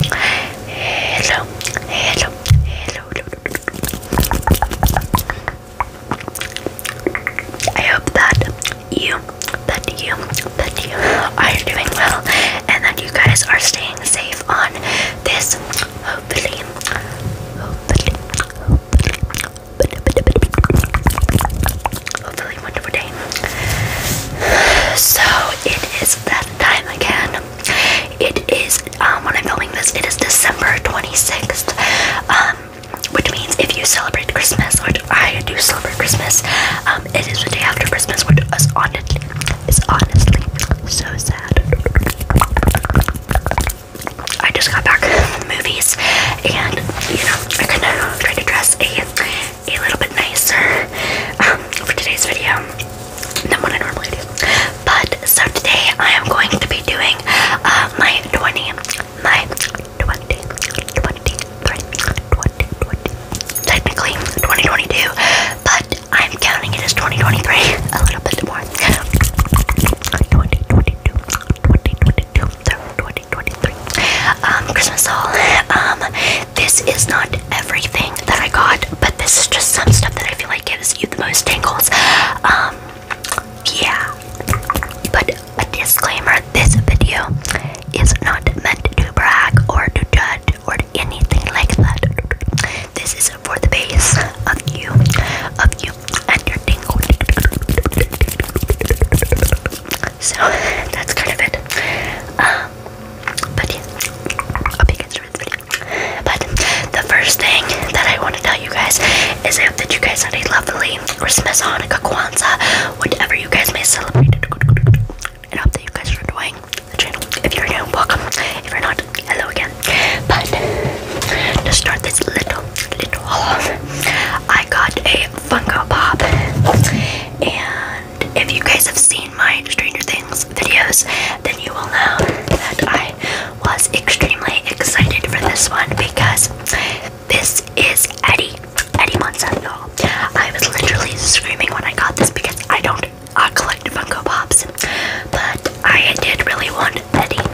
Hello, hello, hello. I hope that you, that you, that you are doing well and that you guys are staying safe on this hopefully, hopefully, hopefully, hopefully wonderful day. So it is that time again it is um, when I'm filming this. It is December 26th, um, which means if you celebrate Christmas, which I do celebrate Christmas, um, it is the day after Christmas, which is honestly is honestly so sad. I just got back movies, and you know I couldn't try to dress a a little bit nicer um, for today's video than what I normally do. But so today I am going to be doing uh, my 20, my 20, 20, 20, 20, technically 2022, but I'm counting it as 2023 a little bit more. 2022, 2022, 2023, um, Christmas haul. Um, this is not everything that I got, but this is just some stuff that I feel like gives you the most tingles. Um, yeah. But a disclaimer this video is not meant to brag or to judge or anything like that. This is for the base of you, of you, and your tingle. So that's kind of it. Um, but yeah, I'll be good this But the first thing that I want to tell you guys is I hope that you guys had a lovely Christmas, Hanukkah, Kwanzaa, whatever you guys may celebrate. And I hope that you guys are enjoying the channel. If you're new, welcome. If you're not, hello again. But to start this little, little haul I got a Funko Pop. And if you guys have seen my Stranger Things videos, then you will know that I was extremely excited for this one because this is Eddie, Eddie Monsanto. I was literally screaming when I got this because I don't uh, collect Funko Pops, but I did really want Eddie.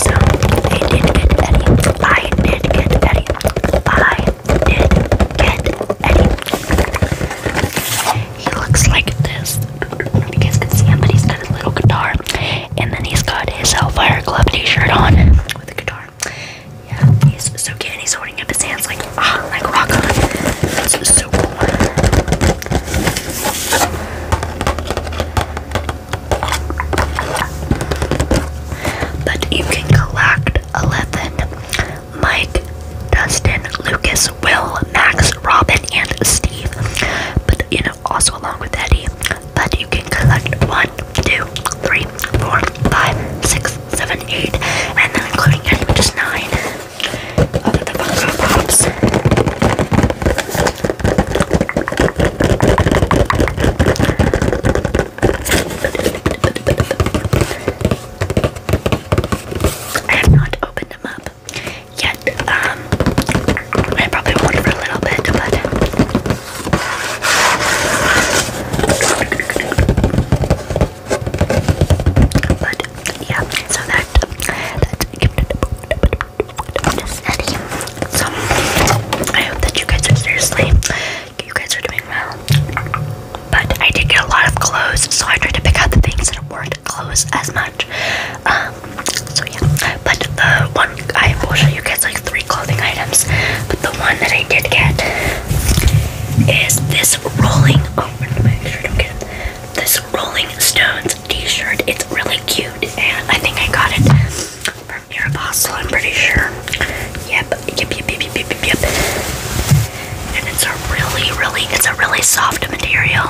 So I did get Eddie. I did get Eddie. I did get Eddie. He looks like this. You guys can see him, but he's got his little guitar. And then he's got his Hellfire Club t-shirt on with a guitar. Yeah, he's so cute he's holding up his hands like, ah, like rock on. This is so cool. But you can collect 11 Mike, Dustin, Lucas, Will, Max, Robin, and Steve. But you know, also along with Eddie. But you can collect one, two, three, four, five, six, seven, eight, and then including Eddie, just is 9 of the Pops. I have not opened them up yet. Um, I probably won't for a little bit, but yeah. So that that gifted bonus, Eddie. So I hope that you guys are seriously, you guys are doing well. But I did get a lot of clothes, so I tried to pick out the things that weren't clothes as much. Um, so yeah, but the one I will show you guys like three clothing items. But the one that I did get is this rolling. Open. make sure I don't get This Rolling Stones T-shirt. It's really cute, and I think I got it from your apostle, I'm pretty sure. yep, yep, yep, yep, yep, yep. And it's a really, really, it's a really soft material.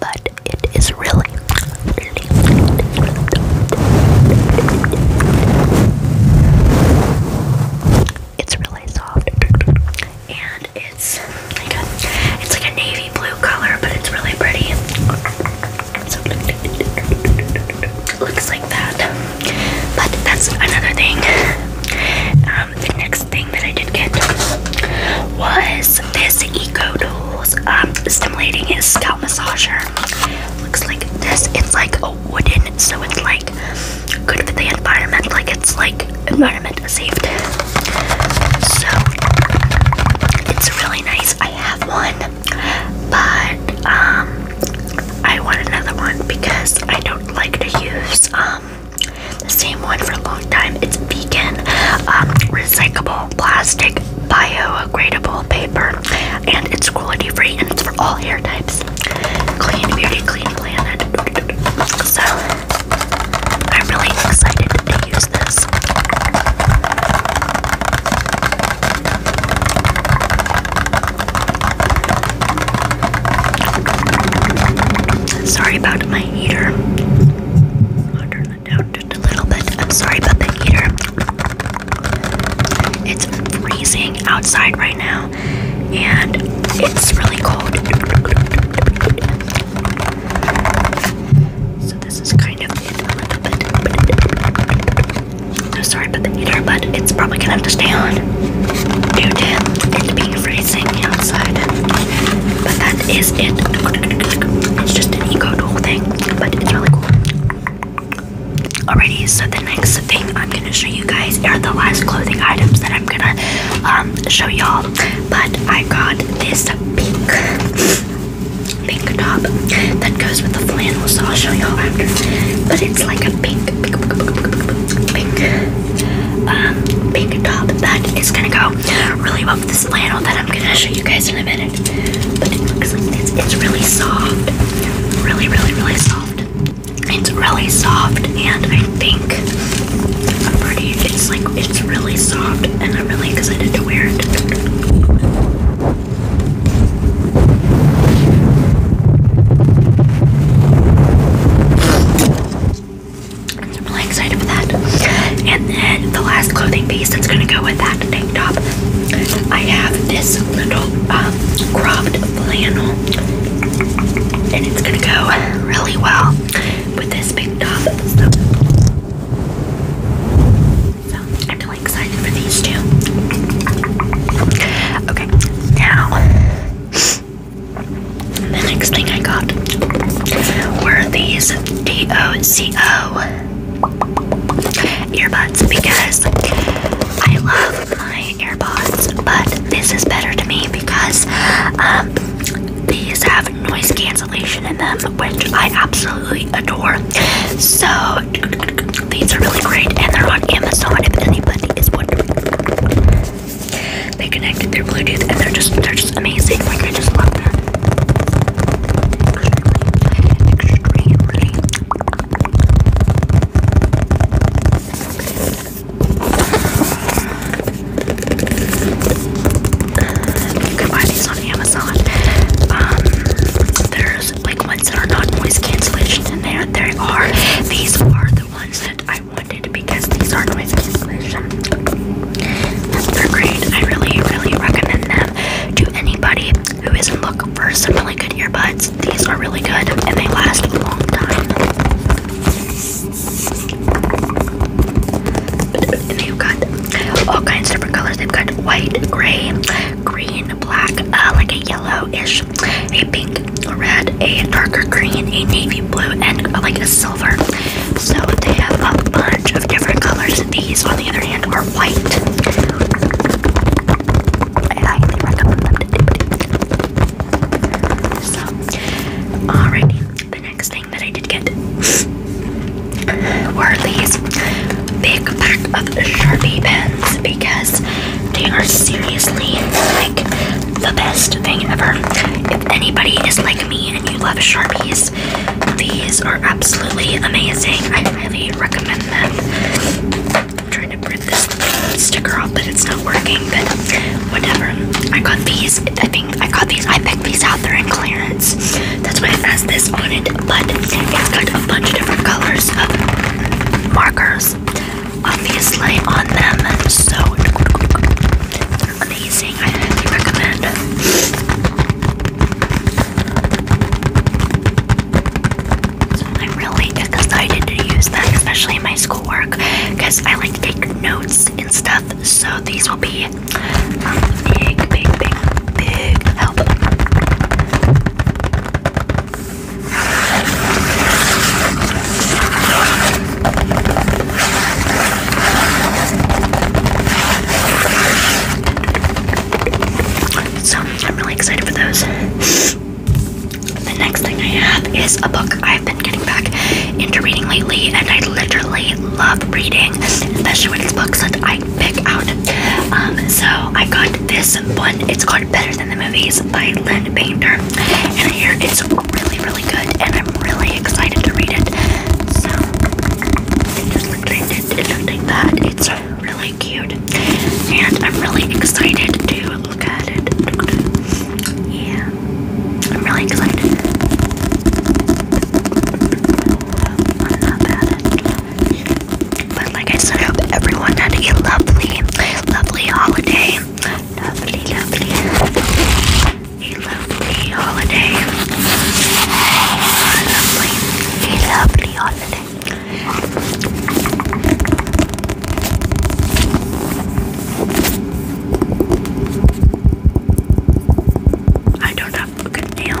But it is really, it's really soft, and it's like a, navy blue color, but it's really pretty looks like that. But that's another thing. Um, the next thing that I did get was this Eco Tools um, Stimulating Scalp Massager. Looks like this. It's like a wooden, so it's like good for the environment. Like it's like environment safe. So it's really nice. I have one, but um, I want another one because I don't like to use um the same one for a long time. It's vegan, um, recyclable plastic, biodegradable paper, and it's cruelty free and it's for all hair types. Clean beauty, clean planet. So I'm really excited to use this. Sorry about my heater. I'll turn it down just a little bit. I'm sorry about the heater. It's freezing outside right now, and it's really cold. So, this is kind of I'm sorry about the heater, but it's probably gonna have to stay on due to it being freezing outside. But that is it. It's just an eco tool thing, but it's really cool. Alrighty, so the next thing I'm gonna show you guys are the last clothing items that I'm gonna um, show y'all. But I got this pink pink top that goes with the flannel beautiful, so I'll show y'all after. But it's like a pink, pink, pink, um, pink top that is gonna go really well with this flannel that I'm gonna show you guys in a minute. But it looks like this. It's really soft, really, really, really soft. It's really soft, and I think I'm pretty. It's like it's really soft, and I'm really excited to wear it. I'm really excited for that. And then the last clothing piece that's gonna go with that tank top, I have this little um, cropped flannel, and it's gonna go really well with this big top really excited for these two. Okay, now the next thing I got were these DOCO earbuds because I love my earbuds, but this is better to me because um, these have noise cancellation in them, which I absolutely adore. So these are really great, and they're on Amazon. If anybody is wondering, they connected their Bluetooth, and they're just they're just amazing. Like I just love them. You can buy these on Amazon. Um, they like ones that are not noise cancellation and there they are. These are the ones that I wanted because these are noise cancellation. They're great. I really, really recommend them to anybody who isn't looking for some really good earbuds. These are really good and they last a long time. they've got all kinds of different colors. They've got white, gray, green, a black, uh, like a yellowish, a pink, a red, a darker green, a navy blue, and uh, like a silver. So they have a bunch of different colors. These, on the other hand, are white. alrighty. The next thing that I did get were these big pack of Sharpie pens because they are seriously like the best thing ever. If anybody is like me and you love Sharpies, these are absolutely amazing. I highly recommend them. trying to rip this sticker off, but it's not working, but whatever. I got these. I think I got these. I picked these out. they in clearance. That's why it has this on it, but it's got a bunch of different colors markers obviously on them so amazing. I highly recommend I'm really excited to use that, especially in my schoolwork, because I like to take notes and stuff. So these will be um, big, big, big, big help. So I'm really excited for those. the next thing I have is a book I've been getting back into reading lately, and I literally love reading, especially when it's books that I pick out. Um, so I got this one. It's called Better Than the Movies by Lynn Painter, and here it's really, really good, and I'm really excited to read it. So just like it, it looked It's really cute, and I'm really excited to look at it. Yeah, I'm really excited. But like I said, I hope everyone had a lovely, lovely holiday. Lovely, lovely, a lovely holiday. A lovely, a lovely holiday. I don't know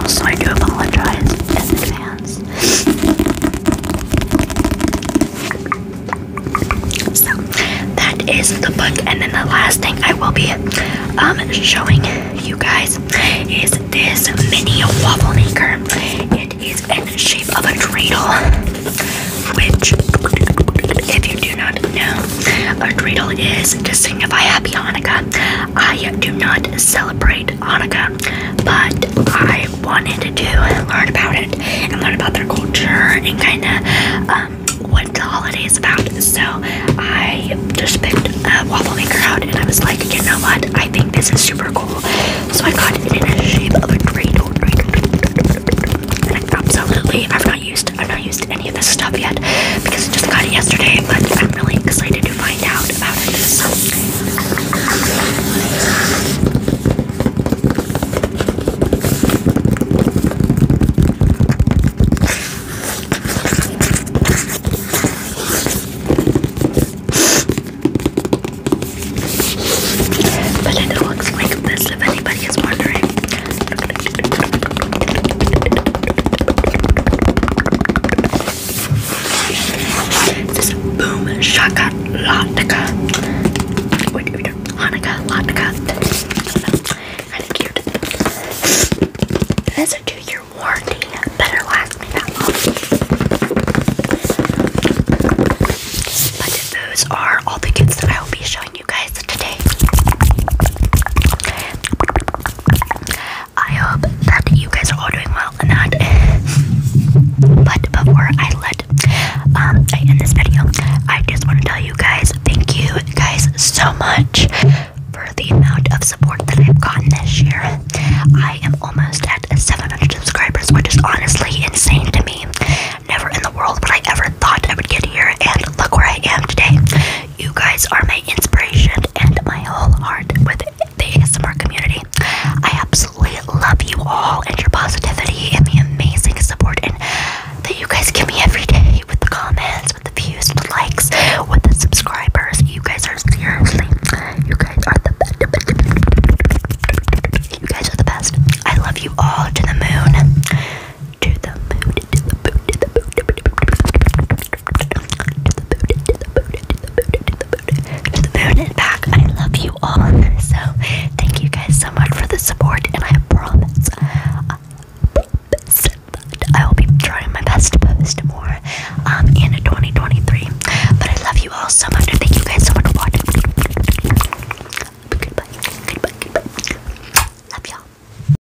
so I do apologize in advance. that is the book, and then the last thing I will be um, showing you guys is this mini waffle maker. It is in the shape of a dreidel, which, if you do not know, a dreidel is to signify Happy Hanukkah. I do not celebrate Hanukkah but I wanted to do and learn about it and learn about their culture and kind of um, what the holiday is about. So I just picked a waffle maker out and I was like, you know what? I think this is super cool. So I got it in a shape of a dreidel. And I absolutely, I've not used, I've not used any of this stuff yet because I just got it yesterday. But I'm really excited to find out about it. The letter works like this if anybody is wondering. This is boom shaka latka. Wait, wait, wait. Hanukkah latka. Kind of cute. It has a two-year warranty. Better last me that long. But those are all the goods that I will be showing you guys today. I hope that you guys are all doing well and that. Eh. but before I let um, I end this video, I just want to tell you guys thank you guys so much for the amount of support that I've gotten this year. I am almost at 700 subscribers, which is honestly insane to me. Never in the world would I ever thought I would get here, and look where I am today. You guys are my inspiration and my whole heart with the ASMR community. I absolutely love you all and your positivity and the amazing support that you guys give me every day with the comments, with the views, with the likes, with the subscribers. You guys are seriously, you guys are the best. You guys are the best. I love you all to the moon, to the moon, to the moon, to the moon, the moon is back. I love you all. So thank you guys so much for the support, and I promise, I uh, I will be trying my best to post more um, in 2023. But I love you all so much. and Thank you guys so much for watching. Goodbye. Goodbye. Love y'all.